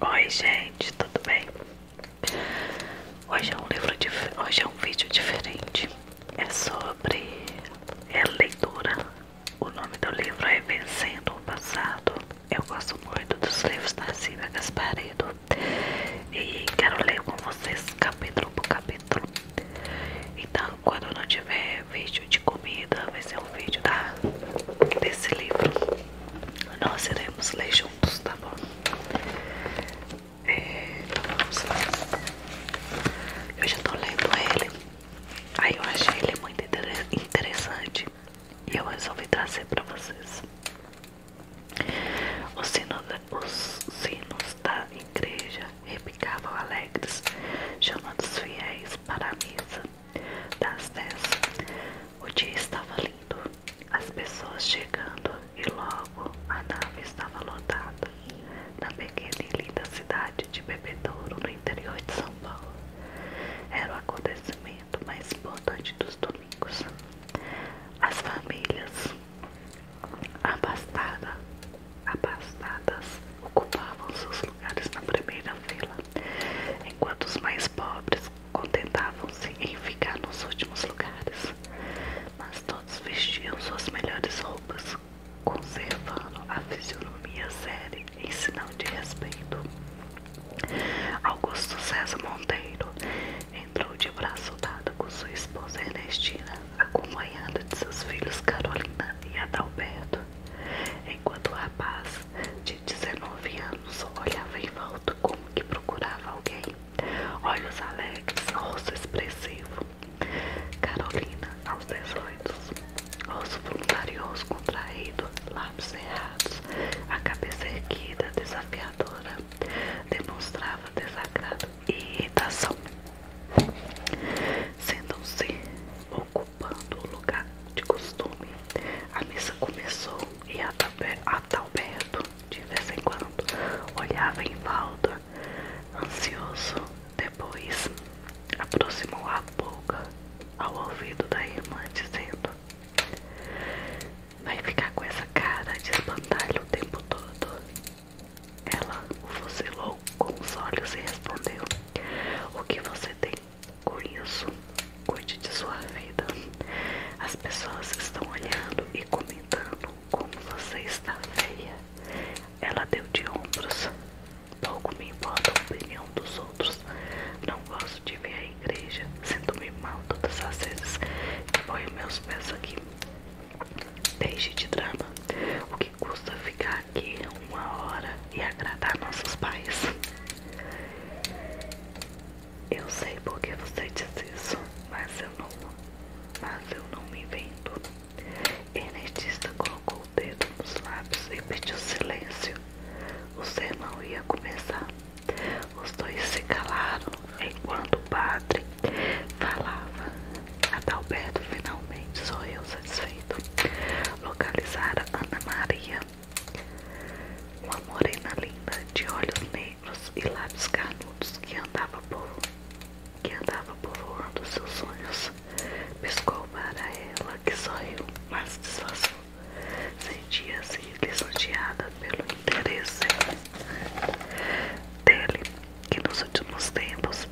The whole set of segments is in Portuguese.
Oi gente, tudo bem? Hoje é um livro hoje é um vídeo diferente. É sobre é leitura. O nome do livro é Vencendo o Passado. Eu gosto muito dos livros da Silvia Gasparedo e quero ler com vocês capítulo por capítulo. Então quando não tiver vídeo de comida, vai ser um vídeo da, desse livro. Nós iremos ler juntos, tá bom? É, então vamos lá. Eu já estou lendo ele. Aí eu achei ele muito interessante e eu resolvi trazer para vocês. os sinos da igreja repicavam alegres, chamando os fiéis para a missa. Das dez, o dia estava lindo, as pessoas chegando e logo a nave estava lotada na pequena e linda cidade de Bebedouro, no interior de São Paulo. Era o acontecimento mais importante dos domingos. As famílias abastadas, abastadas ocupavam seus lugares na primeira fila enquanto os mais pobres contentavam-se em ficar nos últimos lugares. Mas todos vestiam suas melhores roupas, conservando a fisionomia séria em sinal de respeito. Augusto César Monteiro entrou de braço dado com sua esposa Ernestina, acompanhada de seus filhos Carolina e Adalberto enquanto o rapaz de 19 anos olhava em volta como que procurava alguém. Olhos alegres, rosto expressivo. Carolina, aos 18, rosto voluntarioso, contraído, lábios cerrados, a cabeça erguida, desafiadora, demonstrava desagrado e irritação. Sentam-se ocupando o lugar de costume. A missa começou e Adalberto, de vez em quando, olhava em volta, ansioso. Depois, aproximou a boca ao ouvido da irmã, dizendo: Vai ficar com essa cara de espantalho o tempo todo. Ela o fuzilou com os olhos e respondeu: o que você tem? Com isso, cuide de sua vida. As pessoas estão olhando e comentando como você está feia. Ela deu de ombros. Pouco me importa a opinião dos outros. Não gosto de ver a igreja. Sinto-me mal todas as vezes que ponho meus pés aqui. Deixe de drama. O que que custa ficar aqui uma hora e agradar nossos pais? Eu sei porque você diz isso, mas eu não, mas eu não me invento. Enetista colocou o dedo nos lábios e pediu silêncio. O sermão ia começar. Os dois se calaram enquanto o padre falava. Adalberto finalmente sou eu satisfeito localizar Ana Maria, uma morena linda de olhos negros e lábios carnudos que andava por que andava povoando seus sonhos. Pescou para ela que sorriu, mas disfarçou. Sentia-se lisonjeada pelo interesse dele, que nos últimos tempos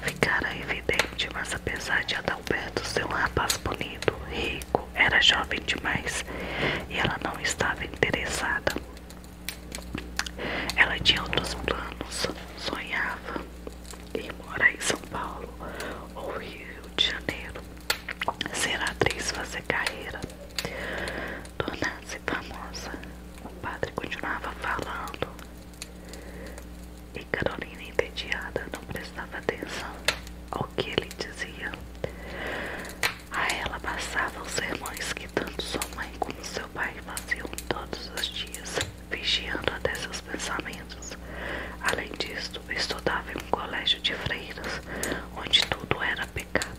Ficara evidente, mas apesar de Adalberto ser um rapaz bonito, rico, era jovem demais e ela não estava interessada. Ela tinha outros planos, sonhava ir morar em São Paulo ou Rio de Janeiro, ser atriz, fazer carreira, tornar-se famosa. O padre continuava falando e Carolina, entediada, não prestava atenção ao que ele dizia. A ela passava os sermões que tanto sua mãe como seu pai faziam todos os dias, vigiando até seus pensamentos. Além disso, estudava em um colégio de freiras, onde tudo era pecado.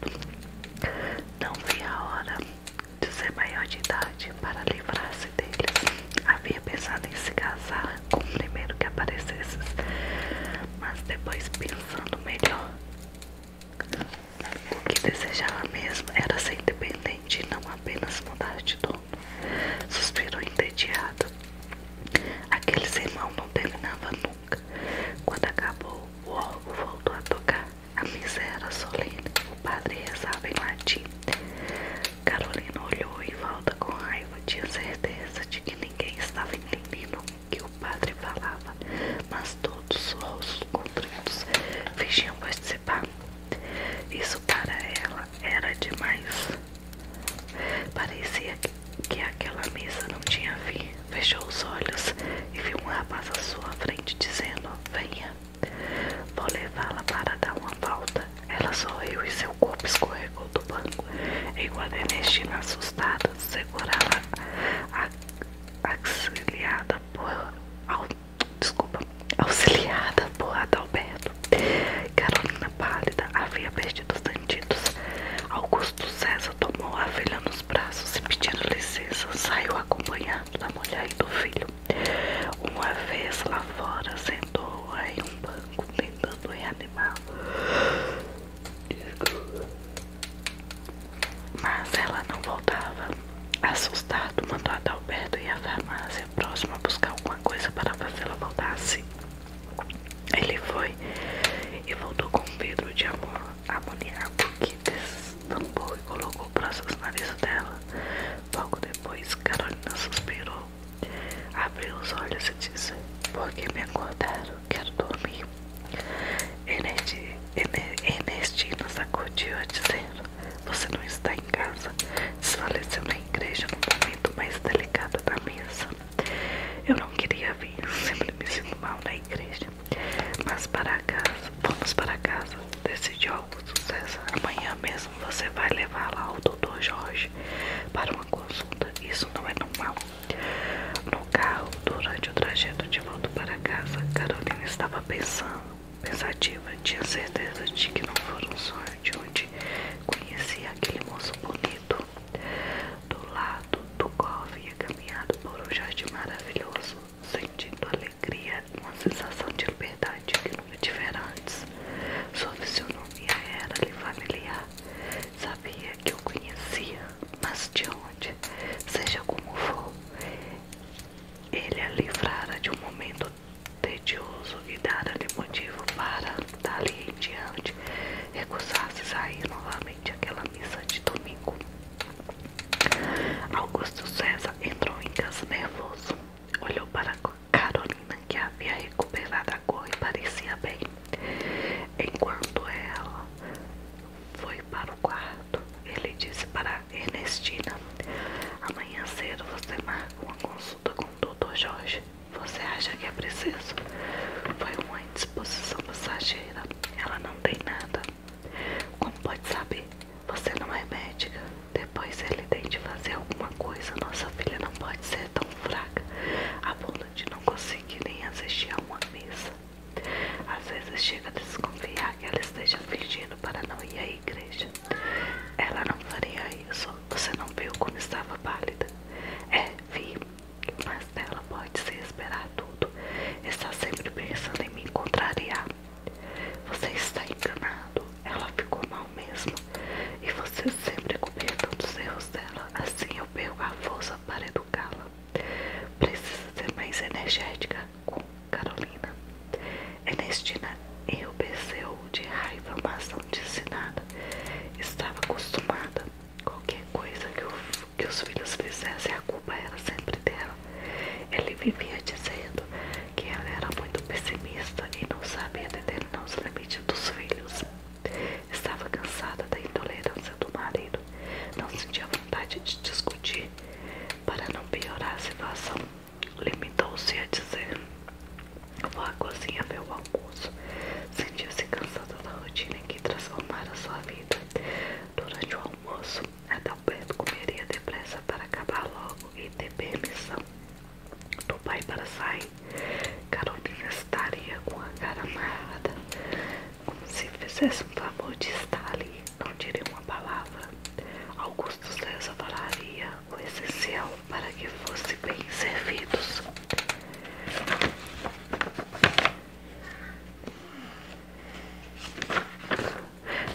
Não via a hora de ser maior de idade para livrar-se dele. Havia pensado em se casar com o primeiro que aparecesse, mas depois, pensando melhor, o que desejava mesmo era ser independente e não apenas mudar de dono. Suspirou entediado. Aquele sermão não terminava nunca. Quando acabou, o órgão voltou a tocar. A miséria era solene. O padre rezava em latim. Carolina olhou em volta com raiva. Tinha certeza de que ninguém estava entendendo o que o padre falava, mas todos os rostos contritos fingiam participar. Isso para ela era demais. Parecia que aquela mesa não tinha fim. Fechou os olhos e viu um rapaz à sua frente dizendo: Venha. Vou levá-la para dar uma volta. Ela sorriu e seu corpo escorregou do banco, enquanto Ernestina, assustada, segurava a auxiliada por au, Adalberto. Carolina pálida havia perdido os sentidos. Augusto César tomou a filha nos braços e pedindo licença, saiu acompanhado da mulher e do filho. Uma vez lá fora, sentou-a em um banco, tentando reanimá-la. Mas ela não voltava. Assustado, mandou Adalberto ir à farmácia próxima buscar alguma coisa para fazê-la voltasse. Ele foi e voltou com um pedro de amor, amoníaco que destampou e colocou próximo ao nariz dela. Logo depois, Carolina suspirou, abriu os olhos e disse: Por que me acordaram? Quero dormir. Ernestina sacudiu, dizendo: Você não está em casa. Desfaleceu na igreja no momento mais delicado da missa. Eu não queria vir, sempre me sinto mal na igreja. Mas para casa, vamos para casa, decidiu algo sucesso. Amanhã mesmo você vai levar lá o doutor Jorge para uma consulta. Isso não é normal. No carro, durante o trajeto de volta para casa, Carolina estava pensando, pensativa. Tinha certeza de que não fora um sonho de onde conhecia aquele moço bonito. Do lado do qual havia caminhado por um jardim maravilhoso, sentindo alegria, uma sensação de liberdade novidade que nunca tivera antes sobre seu nome a ela lhe familiar. Sabia que o conhecia, mas de onde, seja como for, ele a livrara de um momento tedioso e dara-lhe motivo para, dali em diante, recusar-se sair novamente àquela missa de domingo. Augusto César entrou em casa nervoso, olhou para a Carolina, que havia recuperado a cor e parecia bem, enquanto ela foi para o quarto, ele disse para Ernestina: Amanhã cedo você marca uma consulta com o Dr. Jorge. Você acha que é preciso? Foi uma indisposição passageira. Ela não tem nada. Como pode saber? Você não é médica. Depois ele tem de fazer alguma coisa. Nossa filha não pode ser tão fraca a ponto de não conseguir nem assistir a uma missa. Às vezes chega a desconfiar que ela esteja fingindo para não ir à igreja. Ela não faria isso. Você não viu como estava pálida? É, vi. Mas dela pode se esperar tudo. Está sempre pensando em me contrariar. Você está enganado. Ela ficou mal mesmo. E você sempre todos os erros dela. Assim eu perco a força para educá-la. Precisa ser mais energética com Carolina. Ernestina enrubesceu de raiva, mas não disse nada. Estava acostumada. Qualquer coisa que, que os filhos fizessem, a culpa era sempre dela. Ele vivia dizendo que ela era muito pessimista e não sabia determinar os limites dos filhos. Estava cansada da intolerância do marido, não sentia vontade de discutir. Para não piorar a situação, limitou-se a dizer: Vou à cozinha ver o almoço. Sentia-se cansada da rotina em que transformara sua vida. Durante o almoço, até Alberto comeria depressa para acabar logo e ter permissão do pai para sair. Carolina estaria com a cara amarrada, como se fizesse um favor de estar ali, não diria uma palavra. Augusto César falaria o essencial para que fossem bem servidos.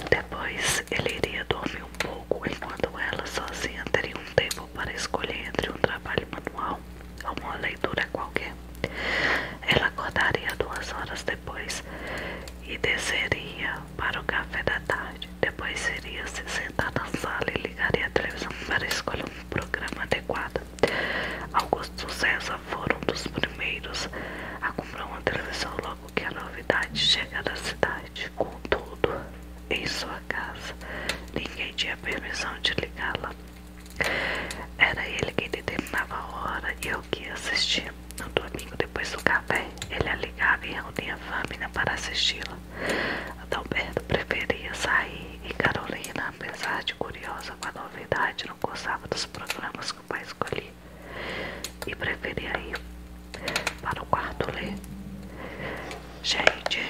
Depois ele iria dormir um pouco enquanto ela sozinha teria um tempo para escolher entre um trabalho manual ou uma leitura qualquer. Ela acordaria duas horas depois e desceria para o café da tarde. Depois iria se sentar na sala e ligaria a televisão para escolher um programa adequado. Augusto César foi um dos primeiros a comprar uma televisão logo que a novidade chega da cidade. Contudo, em sua casa, ninguém tinha permissão de ligá-la. Era ele quem determinava a hora e eu que assistia. No domingo, depois do café, ele a ligava e reunia a família para assisti-la. Adalberto preferia sair e Carolina, apesar de curiosa com a novidade, não gostava dos programas que o pai escolhia e preferia ir para o quarto ler. Gente,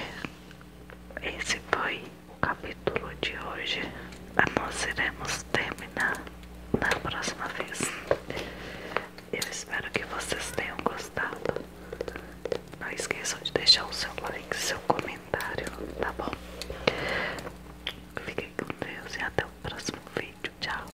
esse foi o capítulo de hoje. Nós iremos terminar na próxima vez. Eu espero que vocês tenham gostado. Não esqueçam de deixar o seu like, seu comentário, tá bom? Fiquem com Deus e até o próximo vídeo. Tchau!